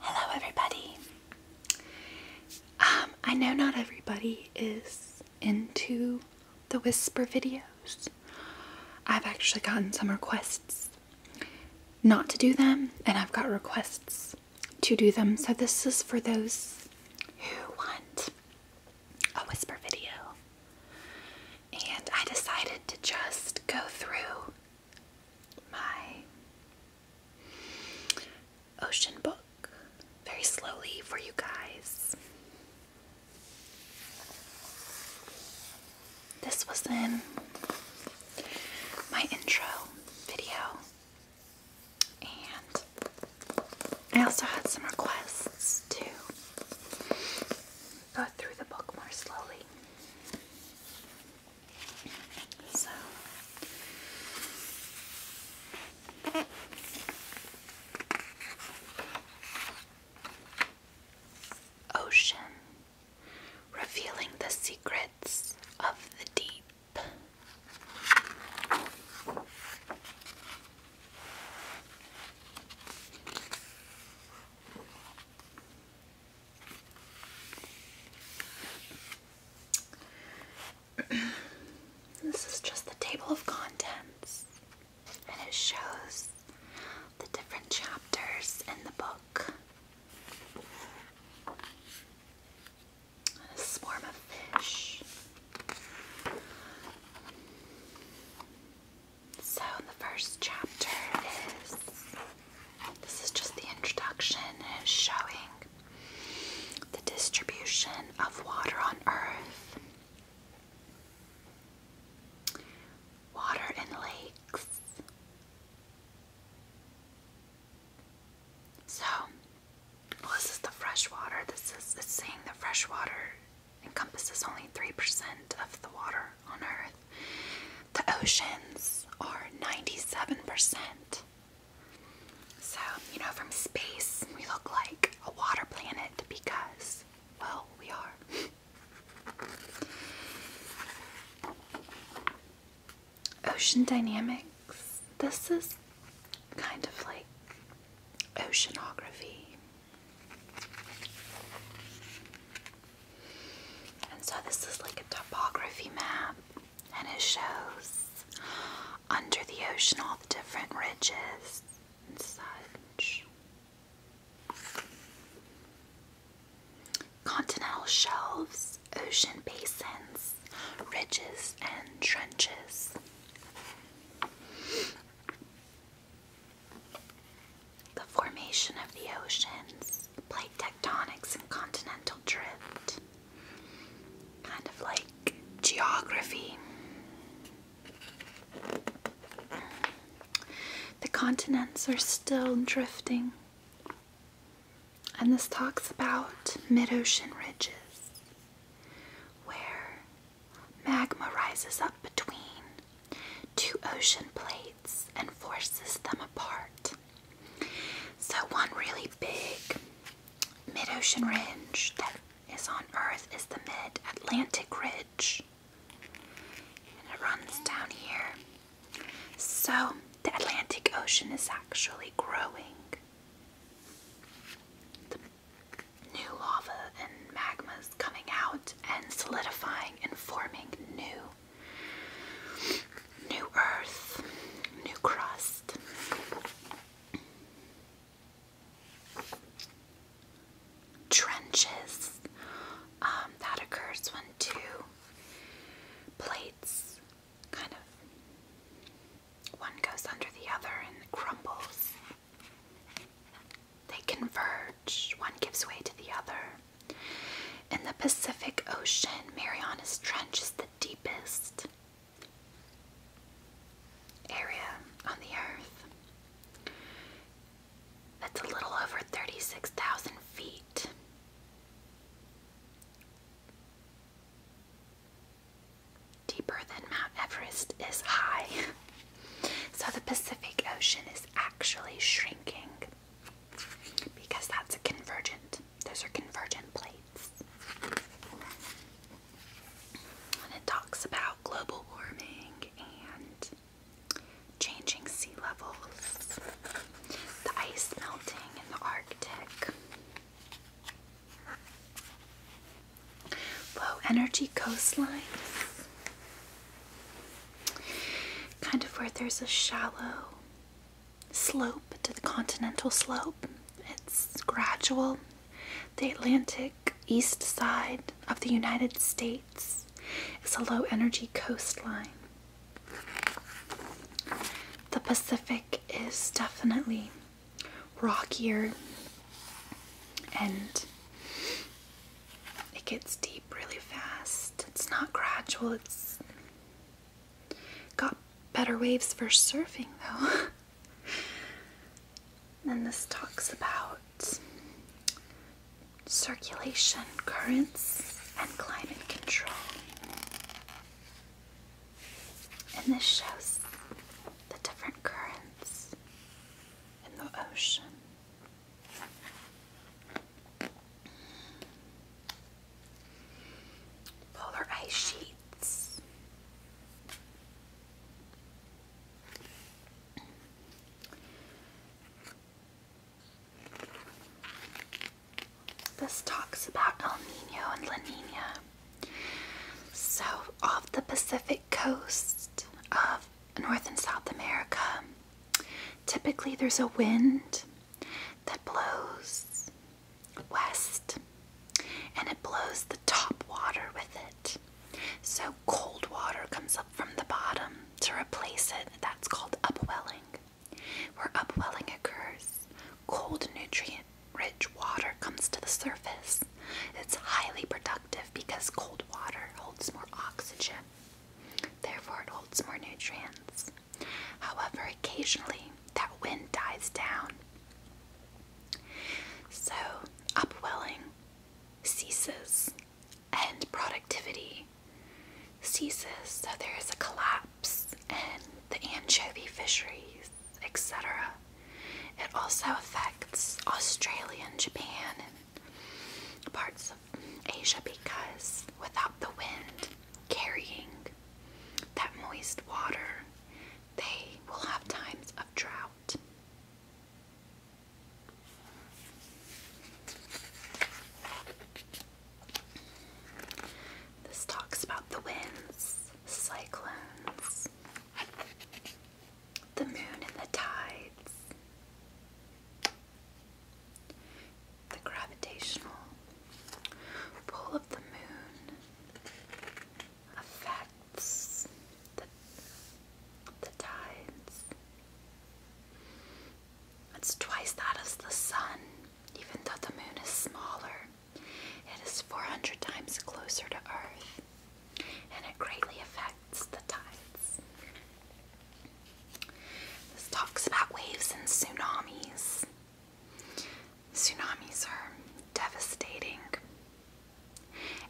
Hello, everybody. Um, I know not everybody is into the whisper videos. I've actually gotten some requests not to do them, and I've got requests to do them. So, this is for those who want a whisper video. And I decided to just go through my ocean book very slowly for you guys. This was in my intro video, and I also had some requests to go through the book more slowly. Ocean revealing the secrets of the deep this is just the table of contents, and it shows the different chapters in the book. A swarm of fish. So, the first chapter is this is just the introduction it's showing the distribution of water on Earth. Water in lakes. So, well, this is the fresh water. This is saying the fresh water encompasses only 3% of the water on Earth. The oceans are 97%. So, you know, from space, we look like a water planet because, well, we are. Ocean dynamics. This is kind of like oceanography. And so this is like a topography map, and it shows under the ocean all the different ridges and such. Continental shelves, ocean basins, ridges, and trenches. The formation of the oceans plate tectonics and continental drift. Kind of like geography. The continents are still drifting. And this talks about mid ocean ridges where magma rises up between two ocean plates and forces them apart. So, one really big mid ocean ridge that is on Earth is the mid Atlantic Ridge, and it runs down here. So, the Atlantic Ocean is actually growing. The new lava and magma is coming out and solidifying and forming new New earth, new crust. Trenches. Um, that occurs when two plates kind of one goes under the other and crumbles. They converge, one gives way to the other. In the Pacific Ocean, Marianas Trench is the deepest area on the earth. That's a little over 36,000 feet. Deeper than Mount Everest is high. so the Pacific Ocean is actually shrinking because that's a convergent. Those are convergent plates. And it talks about global warming and changing sea levels, the ice melting in the Arctic. Low energy coastlines, kind of where there's a shallow slope to the continental slope. It's gradual. The Atlantic east side of the United States is a low energy coastline. The Pacific is definitely rockier and it gets deep really fast. It's not gradual, it's Got better waves for surfing though. then this talks about circulation, currents, and climate control. And this shows the different currents in the ocean polar ice sheets. This talks about El Nino and La Nina. So, off the Pacific coast of North and South America, typically there's a wind that blows west and it blows the top water with it. So cold water comes up from the bottom to replace it. That's called upwelling. Where upwelling occurs, cold nutrient rich water comes to the surface. It's highly productive because cold water holds more oxygen. Therefore, it holds more nutrients. However, occasionally that wind dies down. So, upwelling ceases and productivity ceases. So, there is a collapse and the anchovy fisheries, etc. It also affects Australia and Japan and parts of Asia because without the wind carrying that moist water, they will have times of drought. This talks about the winds, cyclones, the moon and the tides the gravitational pull of the moon affects the, tides. It's twice that as the sun, even though the moon is smaller. It is 400 times closer to Earth, and it greatly affects the tides. This talks about waves and tsunamis. Tsunamis are devastating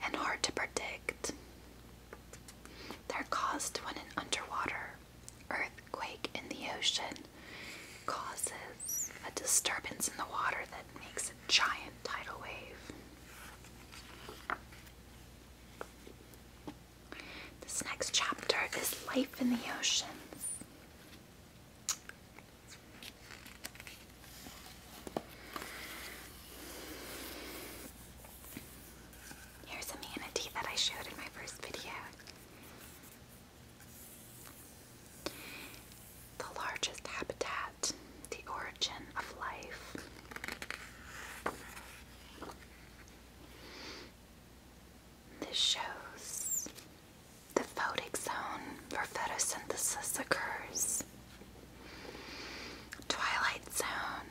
and hard to predict. They're caused when an underwater earthquake in the ocean causes a disturbance in the water that makes a giant tidal wave. This next chapter is Life in the Oceans. Here's a manatee that I showed in my first video. The largest habitat, the origin of life. This shows the photic zone where photosynthesis occurs, twilight zone,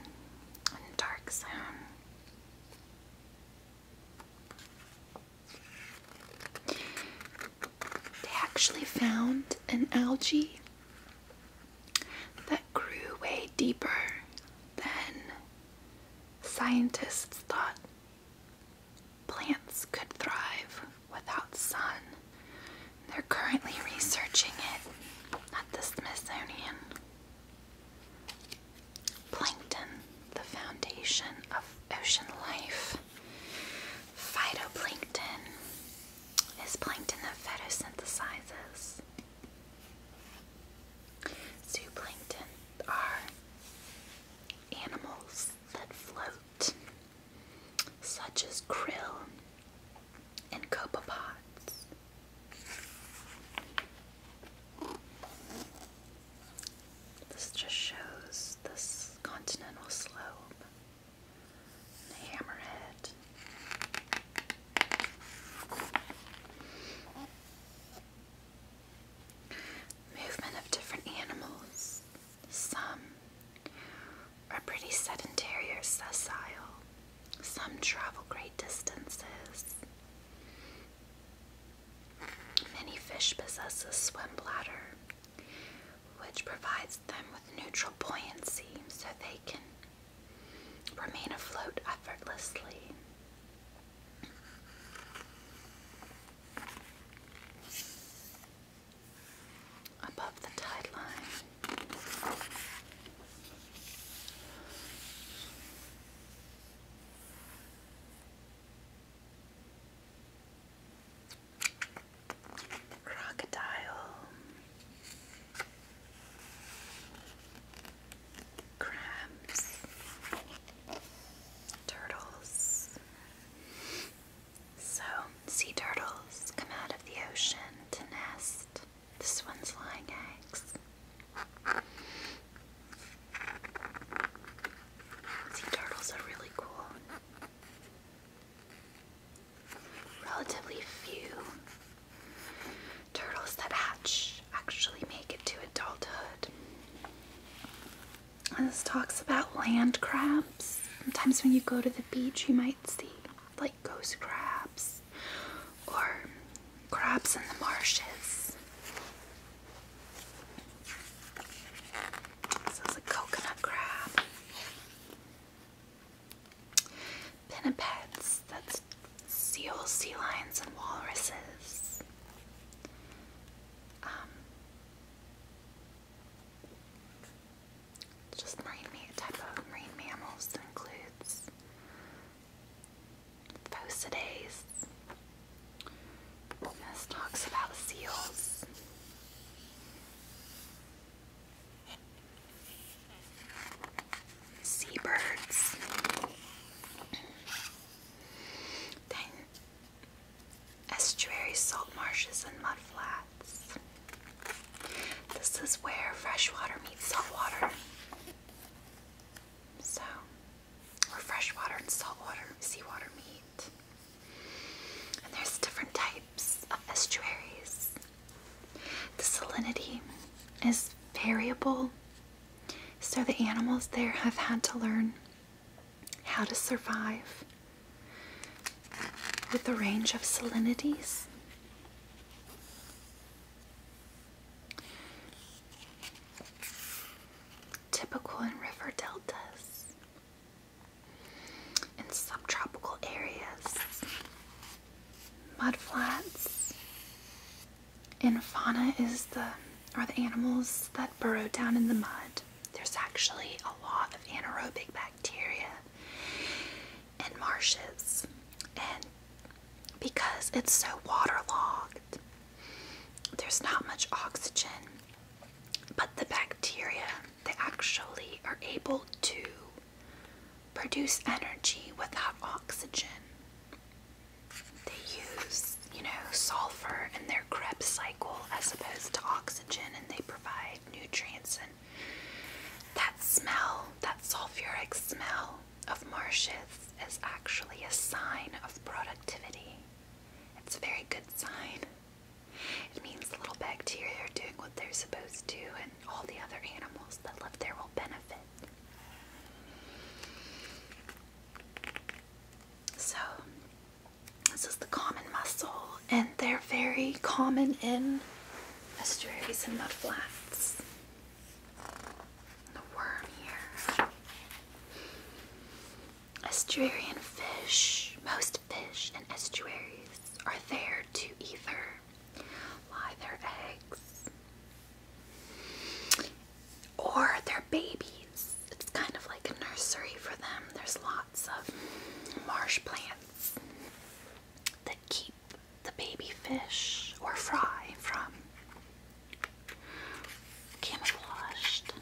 and dark zone. They actually found an algae that grew way deeper than scientists thought Plants could thrive without sun. They're currently researching it at the Smithsonian. Plankton, the foundation of ocean life. Phytoplankton is plankton that photosynthesizes. Zooplankton are animals that float, such as krill and copepods. This just shows this continental slope, hammerhead. Movement of different animals. Some are pretty sedentary or sessile, some travel great distances. Many fish possess a swim bladder, which provides them with neutral buoyancy so they can remain afloat effortlessly above the tide line. Crocodile. Crabs turtles. So, sea turtles come out of the ocean to nest. This one's laying eggs. Sea turtles are really cool. Relatively few turtles that hatch actually make it to adulthood this talks about land crabs. Sometimes when you go to the beach, you might see like ghost crabs or crabs in the marshes. So it's a coconut crab. Pinnipeds, that's seals, sea lions, and walruses. Um, just marine ma type of marine mammals that includes Phocidaes. This talks about seals. Seabirds. Then estuaries, salt marshes, and mud flats. This is where freshwater meets saltwater. So, where freshwater and saltwater, seawater meet. And there's different types of estuaries. The salinity is variable, so the animals there have had to learn how to survive with a range of salinities. Typical in river deltas, in subtropical areas, mudflats. In fauna is the are the animals that burrow down in the mud. There's actually a lot of anaerobic bacteria in marshes, and because it's so waterlogged, there's not much oxygen. But the bacteria, they actually are able to produce energy without oxygen they use, you know, sulfur in their Krebs cycle as opposed to oxygen, and they provide nutrients. And that smell, that sulfuric smell of marshes, is actually a sign of productivity. It's a very good sign. It means the little bacteria are doing what they're supposed to, and all the other animals that live there will benefit. So, this is the common mussel, and they're very common in estuaries and mudflats. The worm here. Estuarian fish. Most fish in estuaries are there to either lie their eggs or they're babies. It's kind of like a nursery for them. There's lots of marsh plants that keep the baby fish or fry from camouflaged.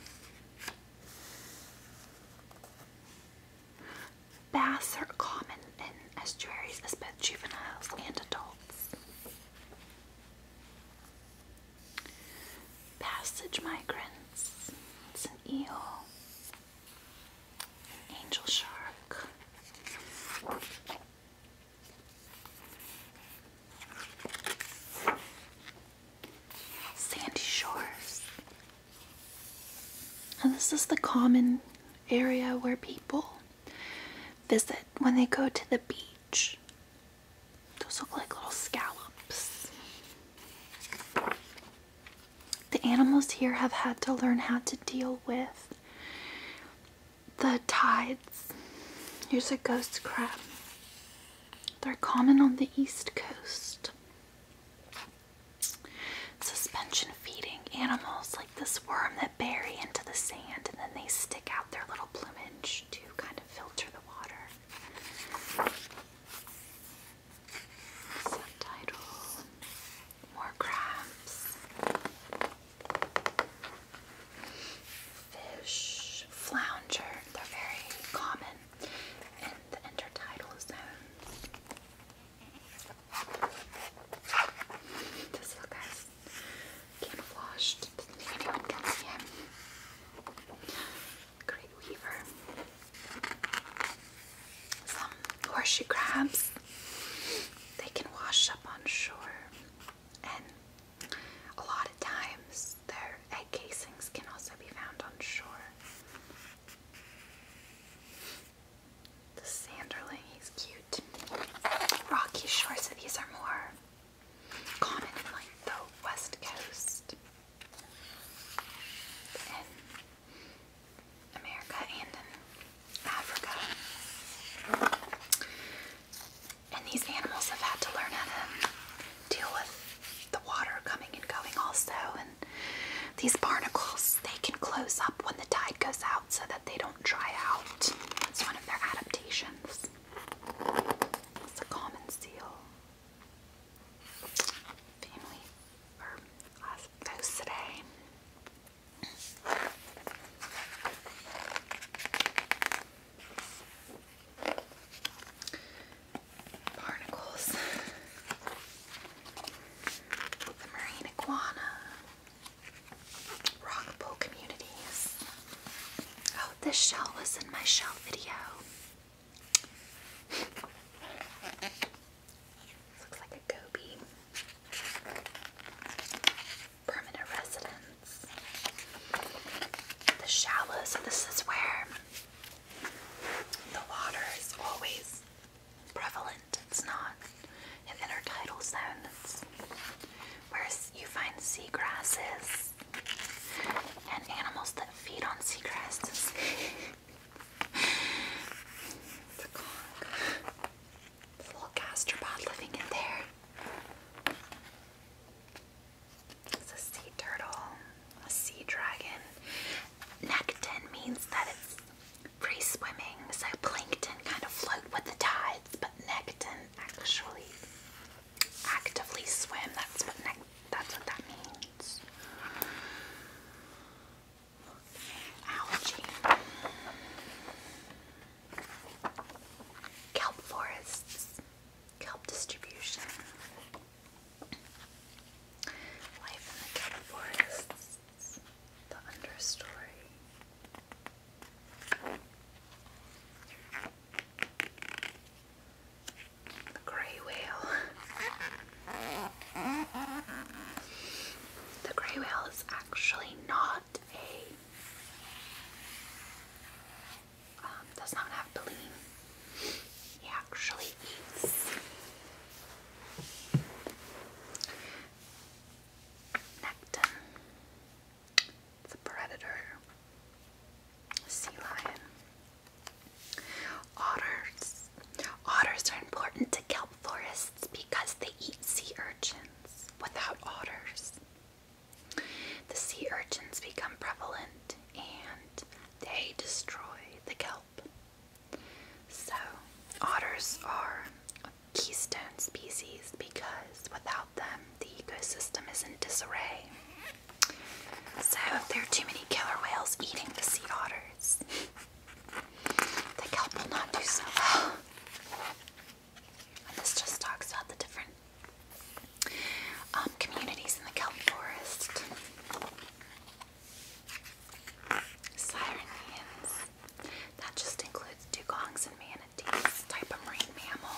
Bass are common in estuaries as both juveniles and adults. Passage migrants. It's an eel. Angel shark. Sandy shores. And this is the common area where people visit when they go to the beach. Those look like little scallops. The animals here have had to learn how to deal with the tides. Here's a ghost crab. They're common on the east coast. Suspension feeding animals like this worm that bury into the sand and then they stick out their little plumage to kind of filter the water. Subtitle More crabs. Fish flounder. They're very common in the intertidal zone. This little guy's camouflaged. Doesn't see him great weaver. Some horseshoe crabs, they can wash up on shore, and a lot of times their egg casings can also be found on shore. The sanderling, he's cute. Rocky shores, so these are more common in like the West Coast in America and Africa. And these animals have had to learn how to deal with the water coming and going also and these barnacles they can close up when the tide goes out so that they don't dry out. That's one of their adaptations. It's a common seal family or last post today. Barnacles, the marine iguana, rock pool communities. Oh, this shell was in my shell video. Looks like a goby. Permanent residence. The shallows. so this is where the water is always prevalent. It's not an intertidal zone. where you find seagrasses and animals that feed on seagrasses. it's It's a little gastropod living in there. It's a sea turtle, a sea dragon. Nekton means that it's free swimming, so plankton kind of float with the tides, but nekton actually actively swim. That's what that means. Algae. Kelp forests. Kelp distribution. Life in the kelp forests. The understory the grey whale. The grey whale is actually not a. Um, does not have baleen. He actually eats. Necton. It's a predator. Sea lion. Otters. Otters are important to kelp forests because they eat sea urchins. Without otters, the sea urchins become prevalent and they destroy the kelp. So, otters are a keystone species because without them, the ecosystem is in disarray. So if there are too many killer whales eating the sea otters. the kelp will not do so well. this just talks about the different um, communities in the kelp forest. Sirenians. That just includes dugongs and manatees, type of marine mammal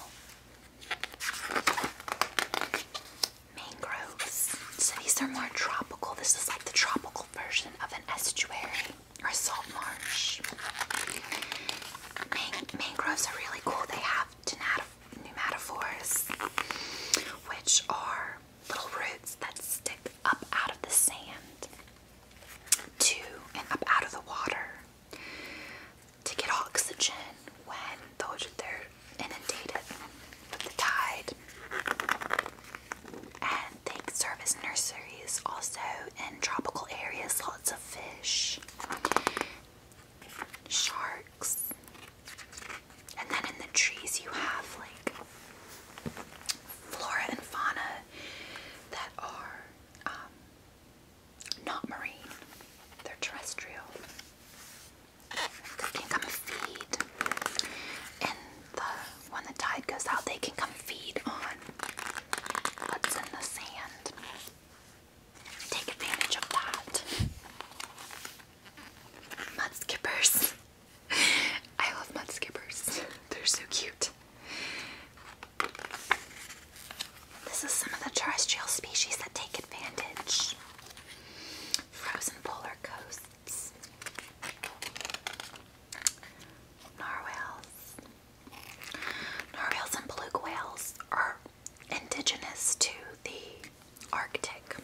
mangroves. So these are more tropical. This is like the tropical version of an estuary or a salt marsh. mangroves are really cool. They have pneumatophores, which are little roots that stick up out of the sand to and up out of the water to get oxygen when the, there inundated with the tide. And they serve as nurseries also in tropical areas, lots of fish, sharks. And then in the trees, you have like flora and fauna that are um, not marine, they're terrestrial they can come feed. And when the tide goes out, they can come feed on what's in the sand. Take advantage of that. Mud I love mud skippers. They're so cute. This is some of the terrestrial species that take advantage Frozen polar coasts, narwhals. Narwhals and beluga whales are indigenous to the Arctic.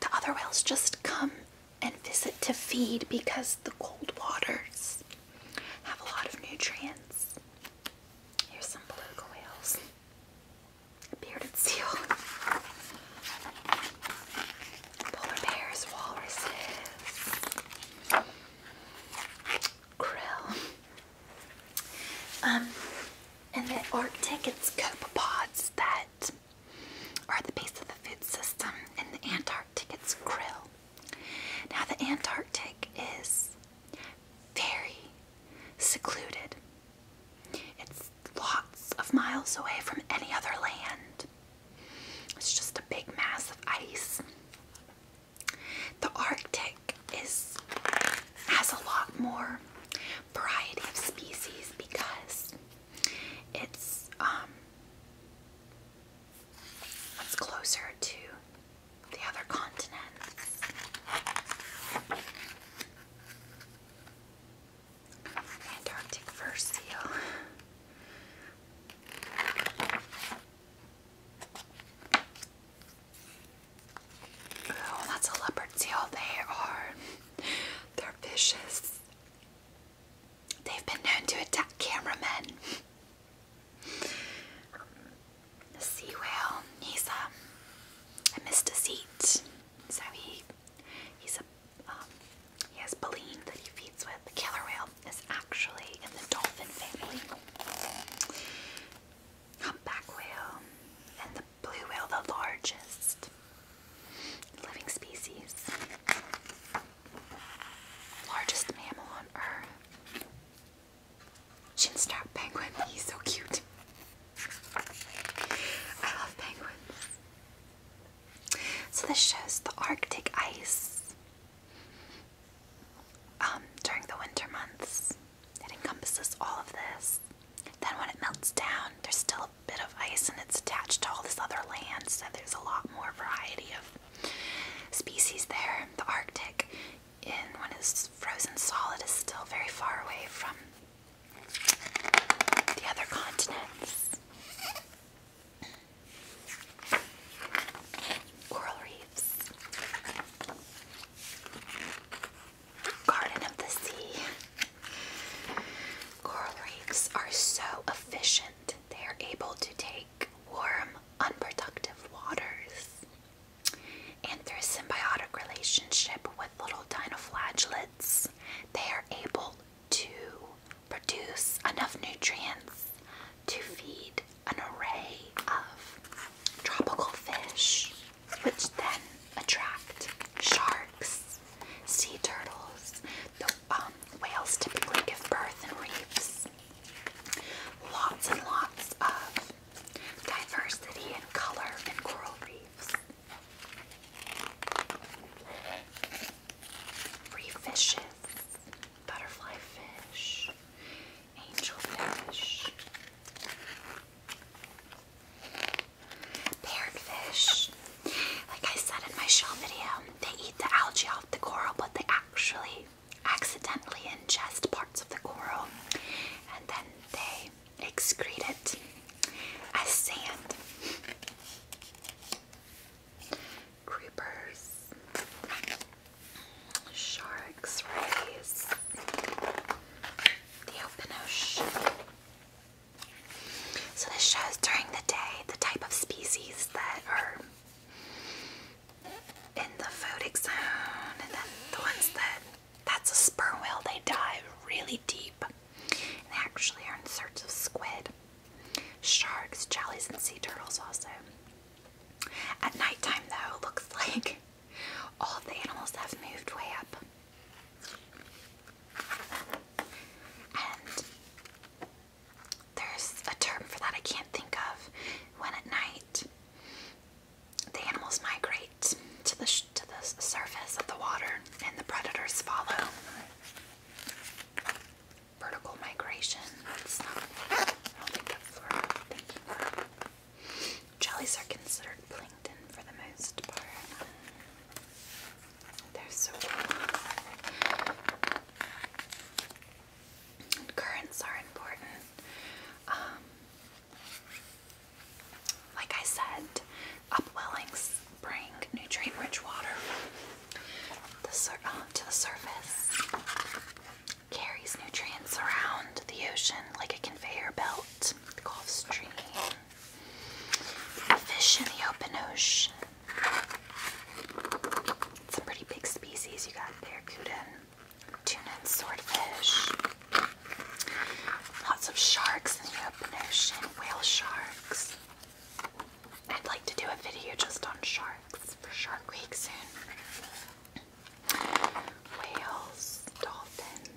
The other whales just come and visit to feed because the cold waters have a lot of nutrients. Here's some beluga whales bearded seal, polar bears, walruses, krill. Um, in the Arctic, it's copepods that are the base of the food system. In the Antarctic, it's krill. Now, the Antarctic is very secluded. It's lots of miles away from any other land. It's just a big mass of ice. The Arctic is has a lot more variety of species because it's um it's closer to the other continents. Antarctic fur seal. Oh, that's a leopard seal. They are, they're vicious. They've been known to attack cameramen. The sea I missed um, a seat. So he he's a um, he has baleen that he feeds with. The killer whale is actually in the dolphin family. Humpback whale and the blue whale, the largest living species, largest mammal on Earth. Chinstrap penguin, he's so cute. I love penguins. So this shows the Arctic ice um, during the winter months. It encompasses all of this. Then when it melts down, there's still a bit of ice and it's attached to all this other land, so there's a lot more variety of species there. The Arctic, in when it's frozen solid, is still very far away from the other continents. Coral reefs. Garden of the Sea. Coral reefs are so efficient, they are able to take warm, unproductive waters. And through symbiotic relationship with little dinoflagellates, they are able to produce enough nutrients to feed an array of tropical fish, which then attract sharks, sea turtles. The um, whales typically give birth in reefs. Lots and lots of diversity and color in coral reefs. Free fishes, butterfly fish, angel fish, parrot fish. Like I said in my shell video, they eat the algae off the coral, but they actually accidentally ingest parts of the coral and then they excreted as sand. Creepers, sharks, rays, the open ocean. So, this shows during the day the type of species that are in the photic zone and then the ones that that's a sperm whale. They dive really deep. they actually are in search of squid, sharks, jellies, and sea turtles also. At nighttime though, it looks like all the animals have moved way up. And there's a term for that I can't think of. When at night the animals migrate to the to the surface of the water, and the predators follow. Vertical migration. It's Jellies are considered plankton for the most part. They're so cool. currents are important. Um, like I said, upwellings bring nutrient rich water um, to the surface, carries nutrients around the ocean like a conveyor belt, the Gulf Stream, fish in the open ocean. Some pretty big species you got barracuda, Tuna swordfish. Lots of sharks in the open ocean, whale sharks. I'd like to do a video just on sharks for Shark Week soon. Whales, dolphins.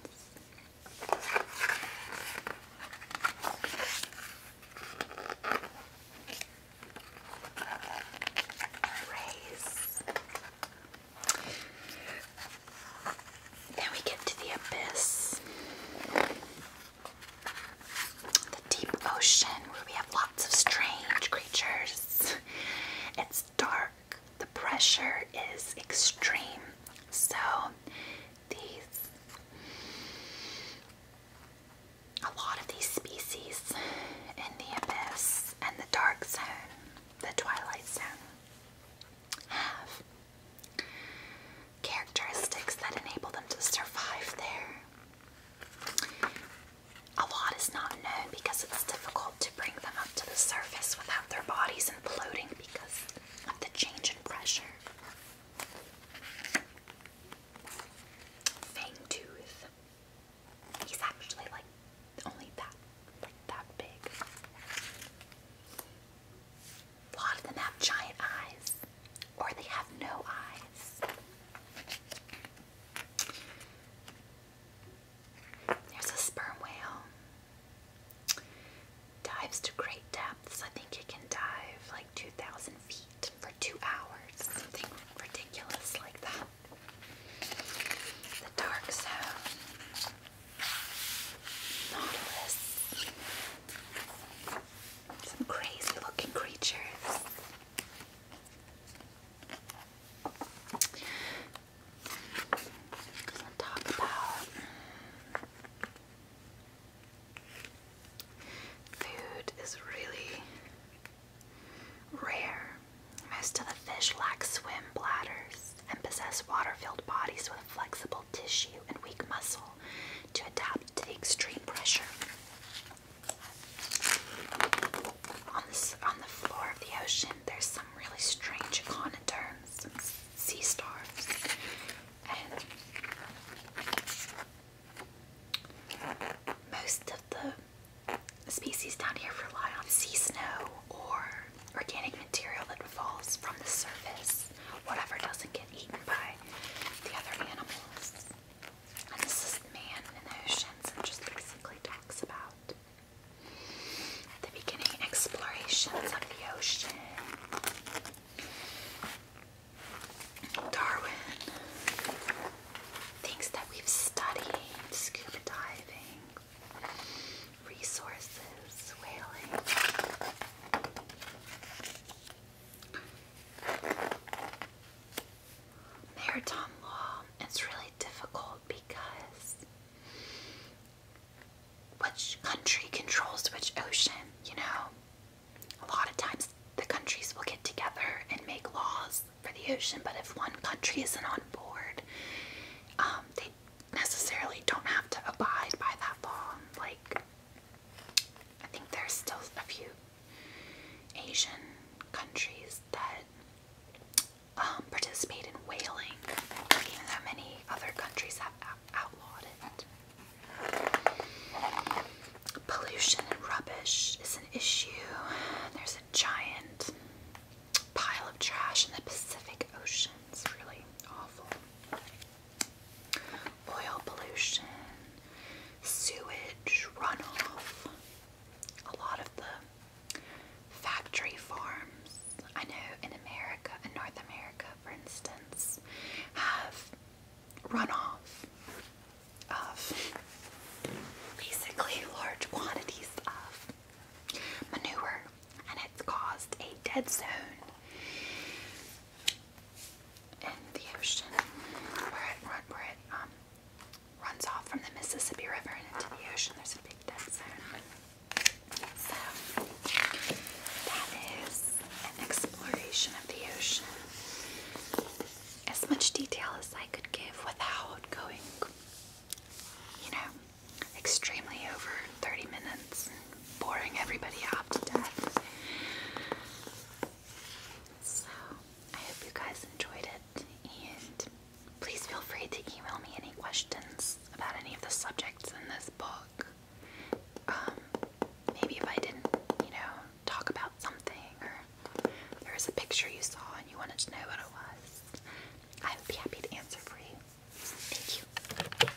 Rays. Then we get to the abyss. The deep ocean where we have lots of strange creatures. It's dark. The pressure is extreme. So these a lot of these species in the abyss and the dark zone, the twilight zone have characteristics that enable them to survive there. A lot is not known because it's difficult to bring them up to the surface without their bodies imploding because of the change in pressure. Fangtooth. He's actually like only that, like that big. A lot of them have giant eyes, or they have no eyes. There's a sperm whale. Dives to great depths. I think it can dive like 2,000 feet for two hours, something ridiculous like that. The dark zone. Nautilus. Some crazy looking creatures. Let's talk about food is really rare. Most of the fish lack swim bladders and possess water-filled bodies with flexible tissue and weak muscle to adapt to the extreme pressure. On the, floor of the ocean, there's some really strange echinoderms, some sea stars, and most of the species down here rely on sea snow or organic material that falls from the surface, whatever doesn't get eaten by the other animals. And this is man in the oceans and just basically talks about the beginning explorations of the ocean. Darwin thinks that we've studied scuba diving resources, whaling. Maritime law It's really difficult because which country controls which ocean, you know? A lot of times the countries will get together and make laws for the ocean, but if one country isn't on board, um, they necessarily don't have to abide by that law. Like, I think there's still a few Asian countries that um, participate in whaling, even though many other countries have outlawed it. Pollution and rubbish is an issue. There's a giant pile of trash in the Pacific Ocean. It's really awful oil pollution, sewage runoff, a lot of the factory farms. I know in America, in North America, for instance, have runoff of basically large quantities of manure, and it's caused a dead zone in the ocean where it, um, runs off from the Mississippi River and into the ocean. There's a big dead zone. So, that is an exploration of the ocean. As much detail as I could give without going, you know, extremely over 30 minutes boring everybody out to death. So, I hope you guys enjoyed it, and please feel free to email me any questions about any of the subjects in this book. Um, maybe if I didn't, you know, talk about something, or there was a picture you saw and you wanted to know what it was, I would be happy to answer for you. Thank you.